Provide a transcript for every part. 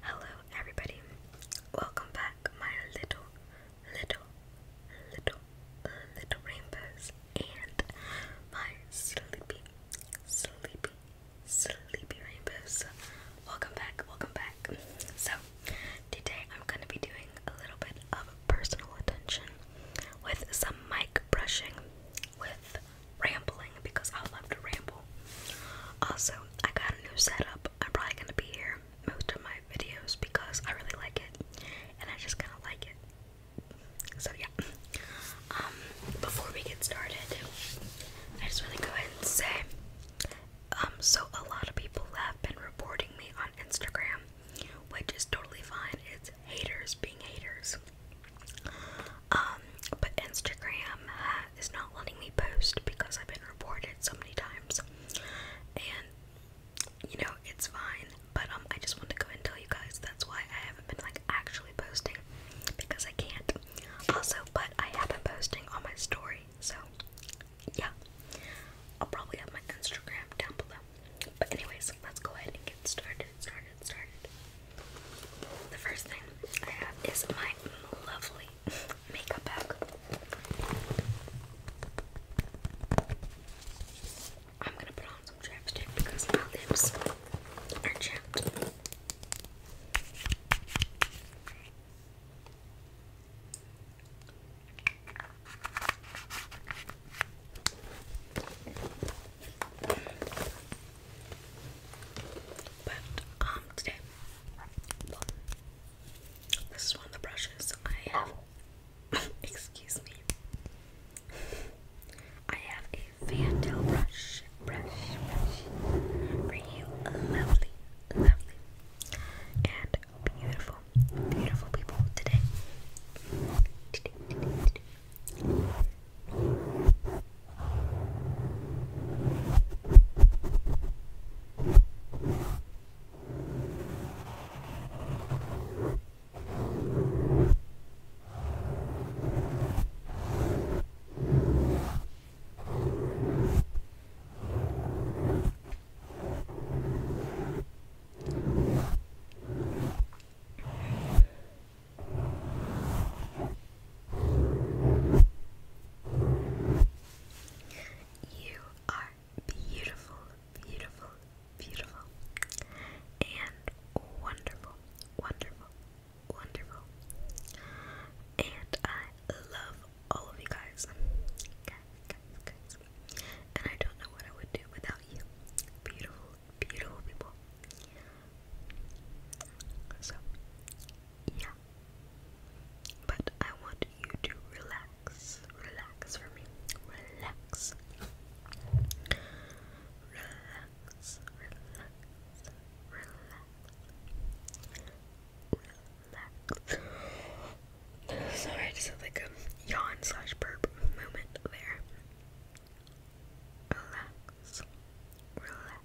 Hello, everybody. Welcome back, my little, little, little, little rainbows and my sleepy, sleepy, sleepy rainbows. Welcome back, welcome back. So, today I'm going to be doing a little bit of personal attention with some micro brushing with rambling because I love to ramble. Also, I got a new setup. I'm probably gonna be here most of my videos because I really like it and I just kinda like it. So yeah. Um before we get started, I just wanna go ahead and say um so a lot of people have been reporting me on Instagram, which is totally fine. It's haters being haters. Um, but Instagram is not letting me post because I've been reported so many times, and you know it's fine. But um, I just want to go and tell you guys that's why I haven't been like actually posting because I can't. Also, but I have been posting on my story, so yeah, I'll probably have my Instagram down below. But anyways, let's go ahead and get started, started, started. The first thing I have is my lovely makeup bag. I'm gonna put on some chapstick because my lips are chapped. But um, today this one the brushes I have excuse me. I have a Vandal brush, brush, brush for you lovely, lovely, and beautiful beautiful people today. You are beautiful, beautiful, beautiful, and wonderful, wonderful, wonderful. And I love all of you guys. And I don't know what I would do without you. Beautiful, beautiful people. So, yeah. But I want you to relax. Relax for me. Relax, relax, relax, relax, Sorry, I just had like a yawn slash burp moment there. Relax, relax, relax,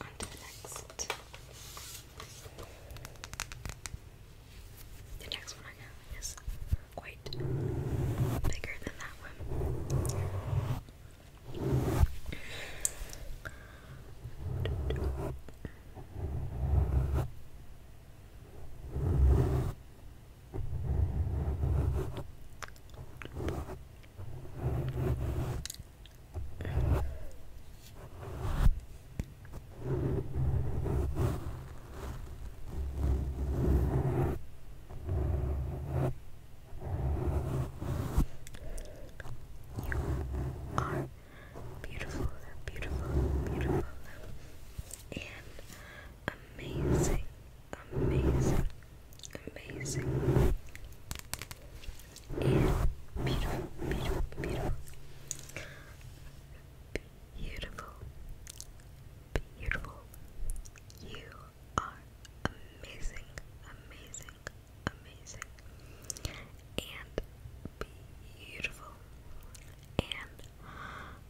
On to The next one I have is quite bigger than that one. You are beautiful, beautiful, beautiful, and amazing amazing, amazing, and beautiful, beautiful, beautiful, beautiful, beautiful. You are amazing, amazing, amazing, and beautiful, and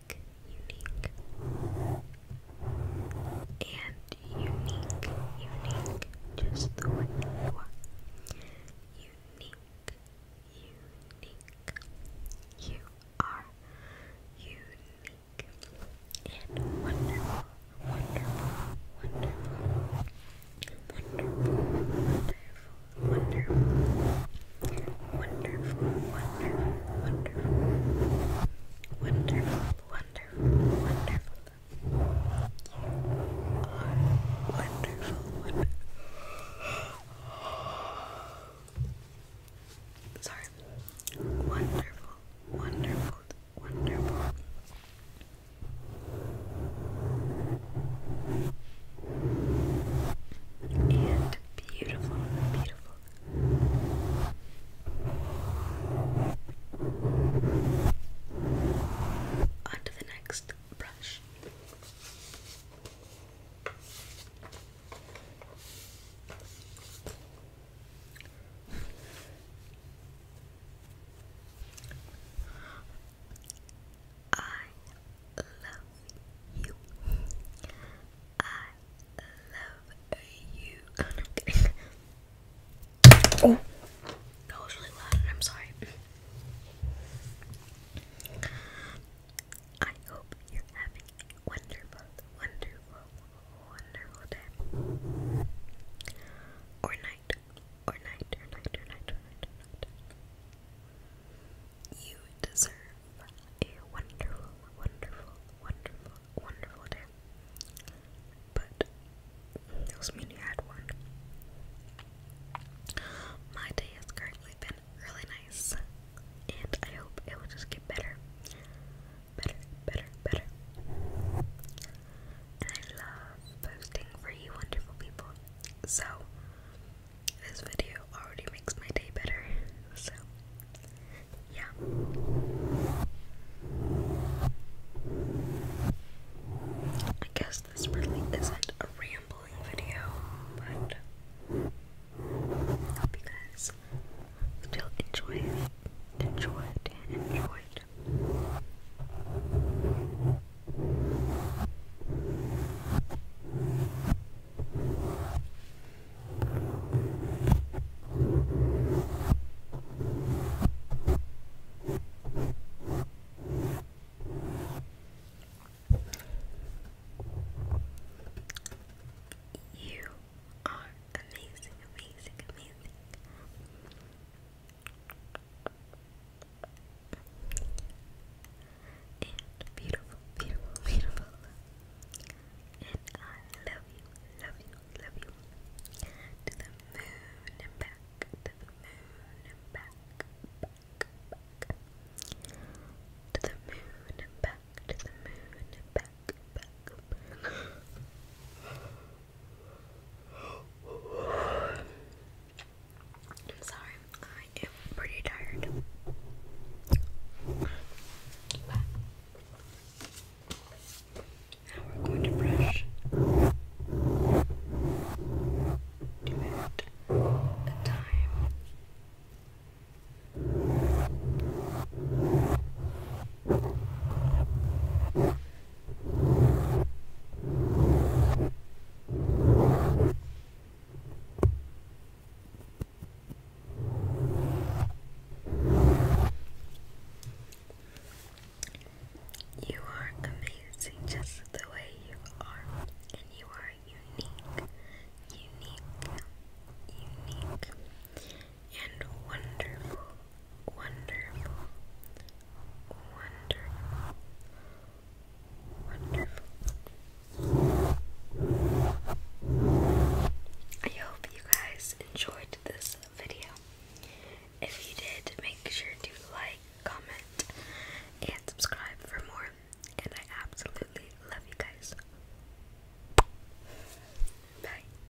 unique, and unique, unique, just the way you are. Unique, unique, you are unique and wonderful, wonderful, wonderful, wonderful, wonderful. Wonderful, wonderful, wonderful, wonderful, wonderful, wonderful, wonderful. wonderful. Sorry. Wonderful, wonderful, wonderful and beautiful, beautiful. On to the next brush. I love you. I love you. oh, that was really loud. I'm sorry. I hope you're having a wonderful, wonderful, wonderful day or night or night, or night, or night, or night, You deserve a wonderful, wonderful, wonderful, wonderful day. But those mean you had one. My day has currently been really nice, and I hope it will just get better. Better, better, better. I love posting for you, wonderful people. So, this video already makes my day better. So, yeah. I guess this really isn't a rambling video, but I hope you guys still enjoy Enjoy it. Enjoy you are amazing, amazing, amazing and beautiful, beautiful, beautiful. And I love you, love you, love you. To the moon and back, to the moon and back, back, back. To the moon and back, to the moon and back, back. I'm sorry, I am pretty tired. now we're going to brush two at a time. You are amazing just the way you are, and you are unique, unique, unique, and wonderful. Wonderful. Wonderful. Wonderful. I hope you guys enjoyed this video. If you did, make sure to like, comment, and subscribe for more. And I absolutely love you guys. Bye.